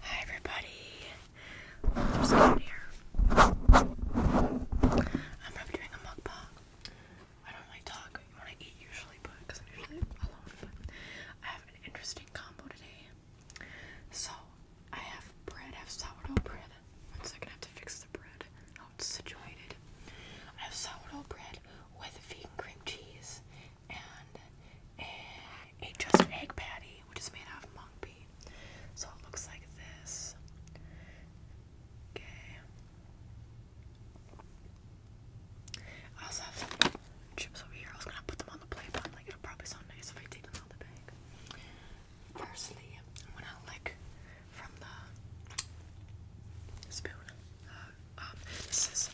Hi everybody, I'm probably doing a mukbang. I don't really talk eat usually, but because I'm usually alone. I have an interesting combo today. So I have bread. I have sourdough bread. One second, I have to fix the bread. How it's situated. I have sourdough bread with vegan cream cheese and a, a egg patty, which is made out of mung bean. So it looks like this. Okay. I also have some chips over here. I was gonna put them on the plate, but like it'll probably sound nice if I take them out the bag. Firstly, I'm gonna lick from the spoon. Uh, um, this is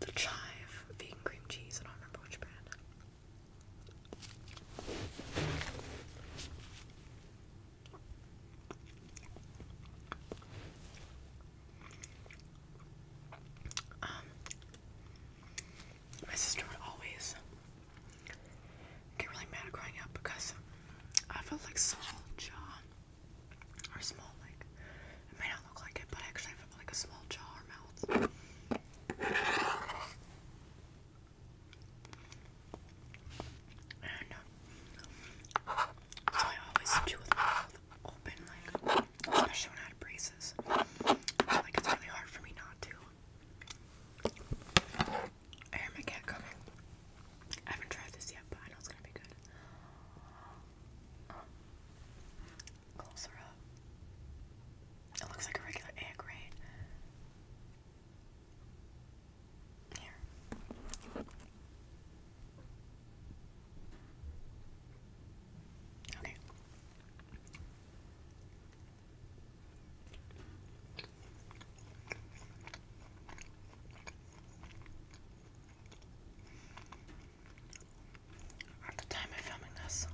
the chive vegan cream cheese. I don't remember which brand. Um, my sister would always get really mad growing up because I felt like small jaw or small like it may not look like it, but I actually have like a small jaw or mouth. And uh, so I always chew with my mouth open, like especially when I had braces. Like it's really hard for me not to. I hear my cat coming. I haven't tried this yet, but I know it's gonna be good closer up. It looks like a regular egg, right? Here. Okay at the time of filming this,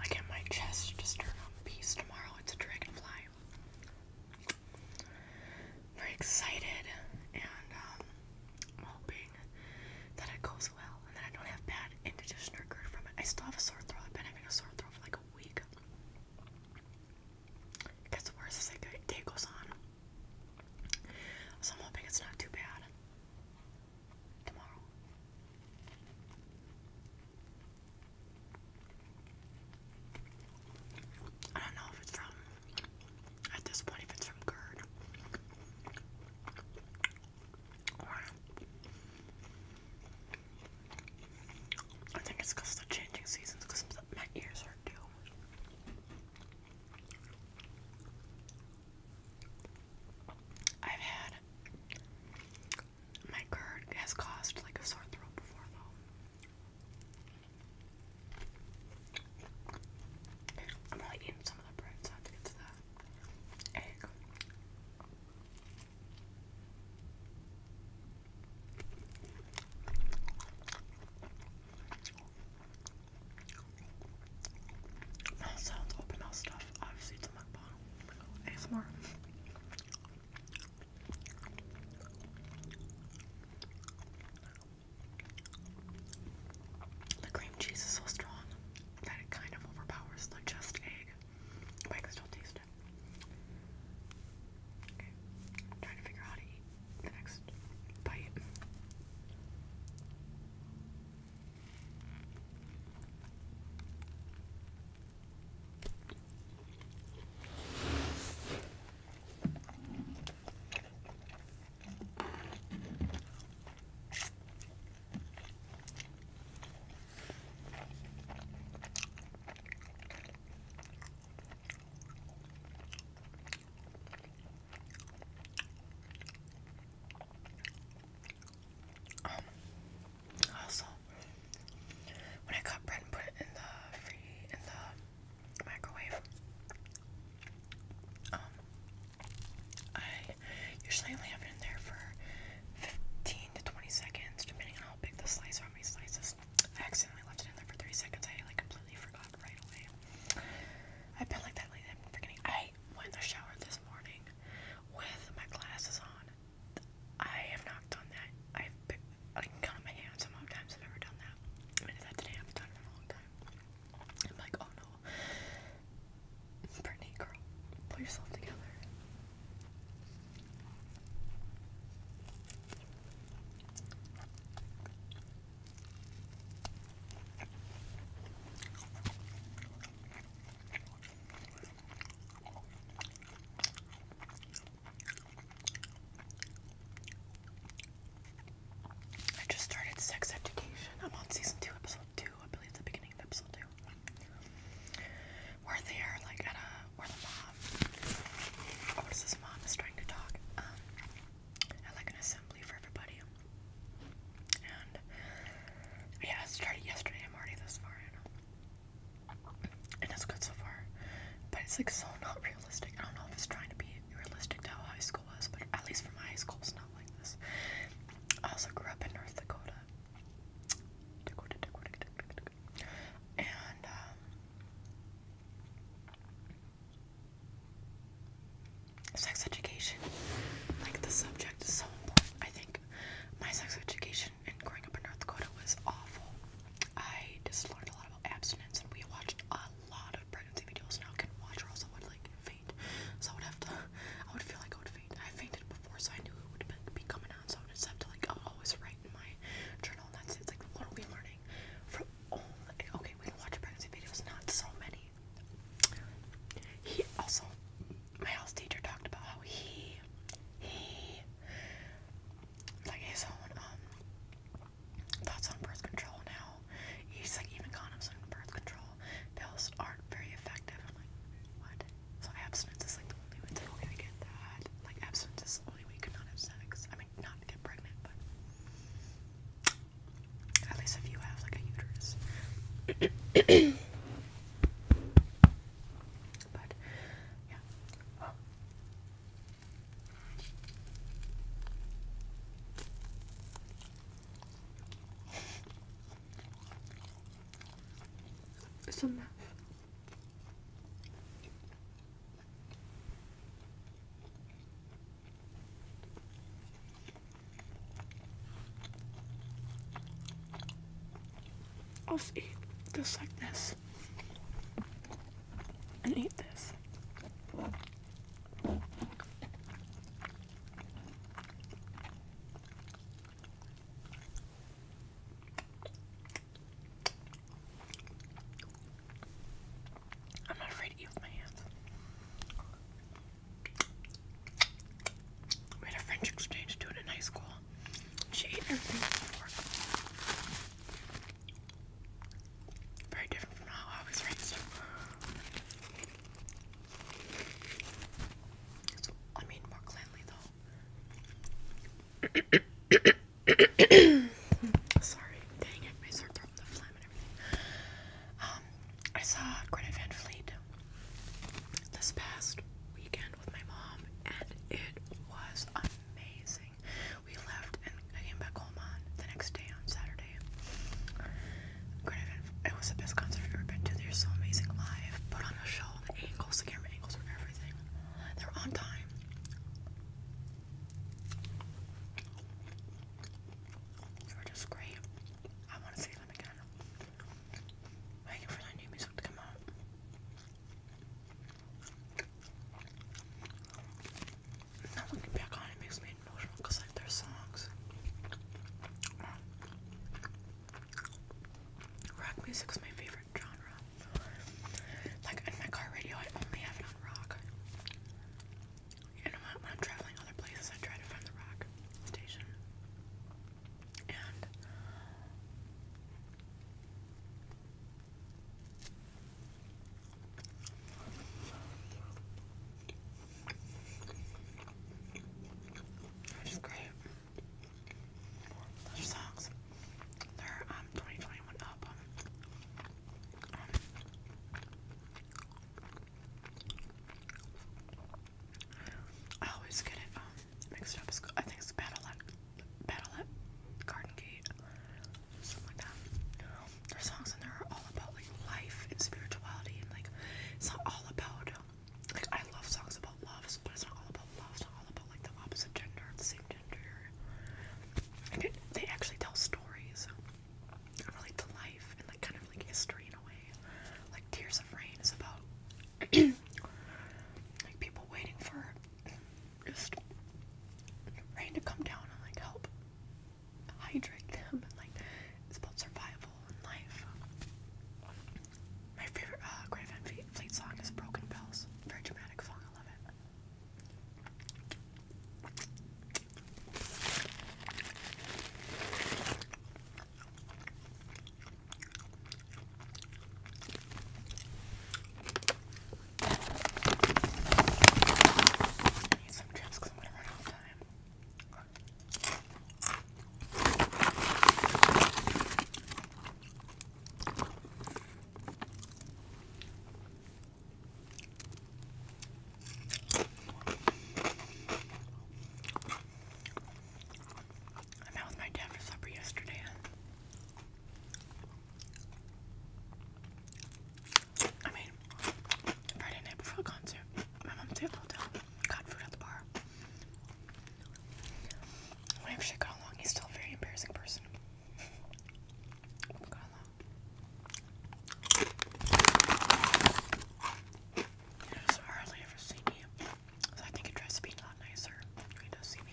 I get my chest just turned on piece tomorrow. It's a dragonfly. Very excited and um, hoping that it goes well and then I don't have bad indigestion or GERD from it. I still have a sore throat. I've been having a sore throat for like a week. It gets as the day goes on. So I'm hoping it's not too bad tomorrow. I don't know if it's from, at this point, if it's from curd I think it's the changing seasons my ears are due. I've had my curd has caused like a sore throat before though. I'm only eating some of the bread, so I have to get to the egg. Mouth sounds, open mouth stuff. Obviously, it's a mukbang. ASMR. The cream cheese is so strong that it kind of overpowers the just egg, but I can still taste it. Okay, trying to figure out the next bite. Um, also, when I got bread and put it in the microwave, um, I usually only have it in there for fifteen to twenty seconds, depending on how big the slice or how many slices. I accidentally left it in there for three seconds. I like completely forgot right away. I've been like that lately. I'm forgetting. I went in the shower this morning with my glasses on. I have not done that. I've been, I can count my hands how many times I've never done that. I did that today. I have done it in a long time. I'm like, oh no. Brittany, girl, pull yourself together. I just started Sex Education. I'm on season two, episode two. I believe it's the beginning of episode two. we they are like at a where the mom, oh, what is this mom is trying to talk. Um, I like an assembly for everybody. And yeah, started yesterday. I'm already this far And it's good so far. But it's like so not realistic. I don't know if it's trying to be realistic to how high school was, but at least for my high school, it's not like this. I also grew up in North Dakota. Um, Sex education, like the subject is so important. I think my sex education and growing up in North Dakota was awful. I just learned a lot about abstinence and we watched a lot of pregnancy videos now can watch or else I would like faint. So I would have to I would feel like I would faint. I fainted before so I knew it would be coming on so I just have to like always write in my journal and that's it. like what are we learning? From all oh, okay, we can watch pregnancy videos, not so many. He also, my house teacher talked about how he, he, like his own um, thoughts on birth control now. He's like even condoms and birth control pills aren't very effective. I'm like, what? So abstinence is like the only way. It's like, okay, I get that. Like abstinence is the only way you can not have sex. I mean, not get pregnant, but at least if you have like a uterus. but yeah. Oh. It's I'll just eat just like this. And eat this. I'm not afraid to eat with my hands. We had a French exchange student in high school. She ate everything Very different from how I was raised. So, I mean, more cleanly though. Sorry, dang it, my um, I saw Greta Van Fleet this past weekend with my mom, and it was amazing. We left and I came back home on the next day on Saturday. Greta it was the best concert I've ever been to. They're so amazing live. Put on a show, the angles, the camera angles, were everything. They're on time. They were just great. I want to see them again. Waiting for their new music to come out. Now looking back on it makes me emotional because like their songs. Rock music is my favorite genre. Like in my car radio, I only have it on rock. And when I'm traveling other places, I try to find the rock station. And which is great. Those songs. they um, 2021 album. I always get it um, mixed up. It's, I think it's Battle Battle Garden Gate, something like that. Their songs and they are all about like life and spirituality, and like it's not all about like I love songs about love, but it's not all about love. It's all about like the opposite gender or the same gender. they actually tell stories. I to life and like kind of like history in a way. Like Tears of Rain is about like people waiting for just rain to come down and like help hydrate them and like it's about survival and life. My favorite uh, Grave Fleet song is Broken Bells. Very dramatic song, I love it. I need some chips because I'm going to run out of time. I'm out with my dad for supper yesterday. I mean, Friday night before the concert, my mom stayed hotel, got food at the bar. Whenever she got along, he's still a very embarrassing person. I just hardly ever see me. I think it tries to be a lot nicer he does see me.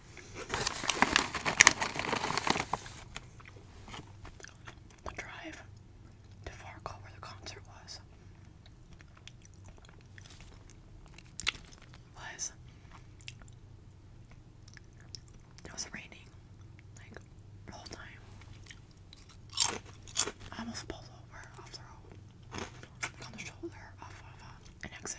The drive to Fargo where the concert was was it was raining like the whole time. I almost pulled over off the on the shoulder off of uh, an exit.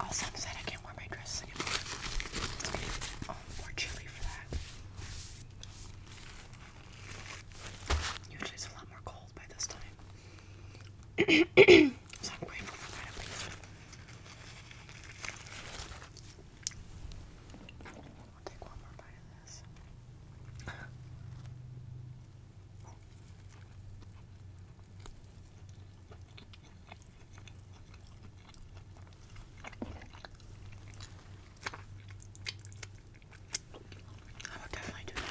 Also, I'm sad I can't wear my dress anymore. It's oh, more chilly for that. Usually it's a lot more cold by this time. so I'm grateful for that at I will definitely do that.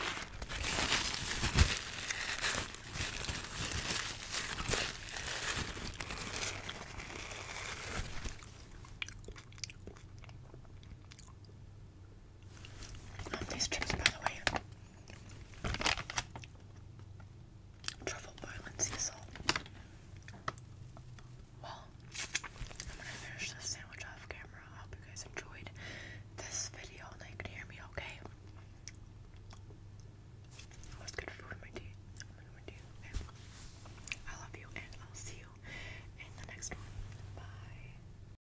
Um, these chips, by the way, truffle boiling sea salt. Well, I'm gonna finish this sandwich off camera. hope you guys enjoyed this video and that you could hear me okay. Always good food in my teeth. I love you and I'll see you in the next one. Bye.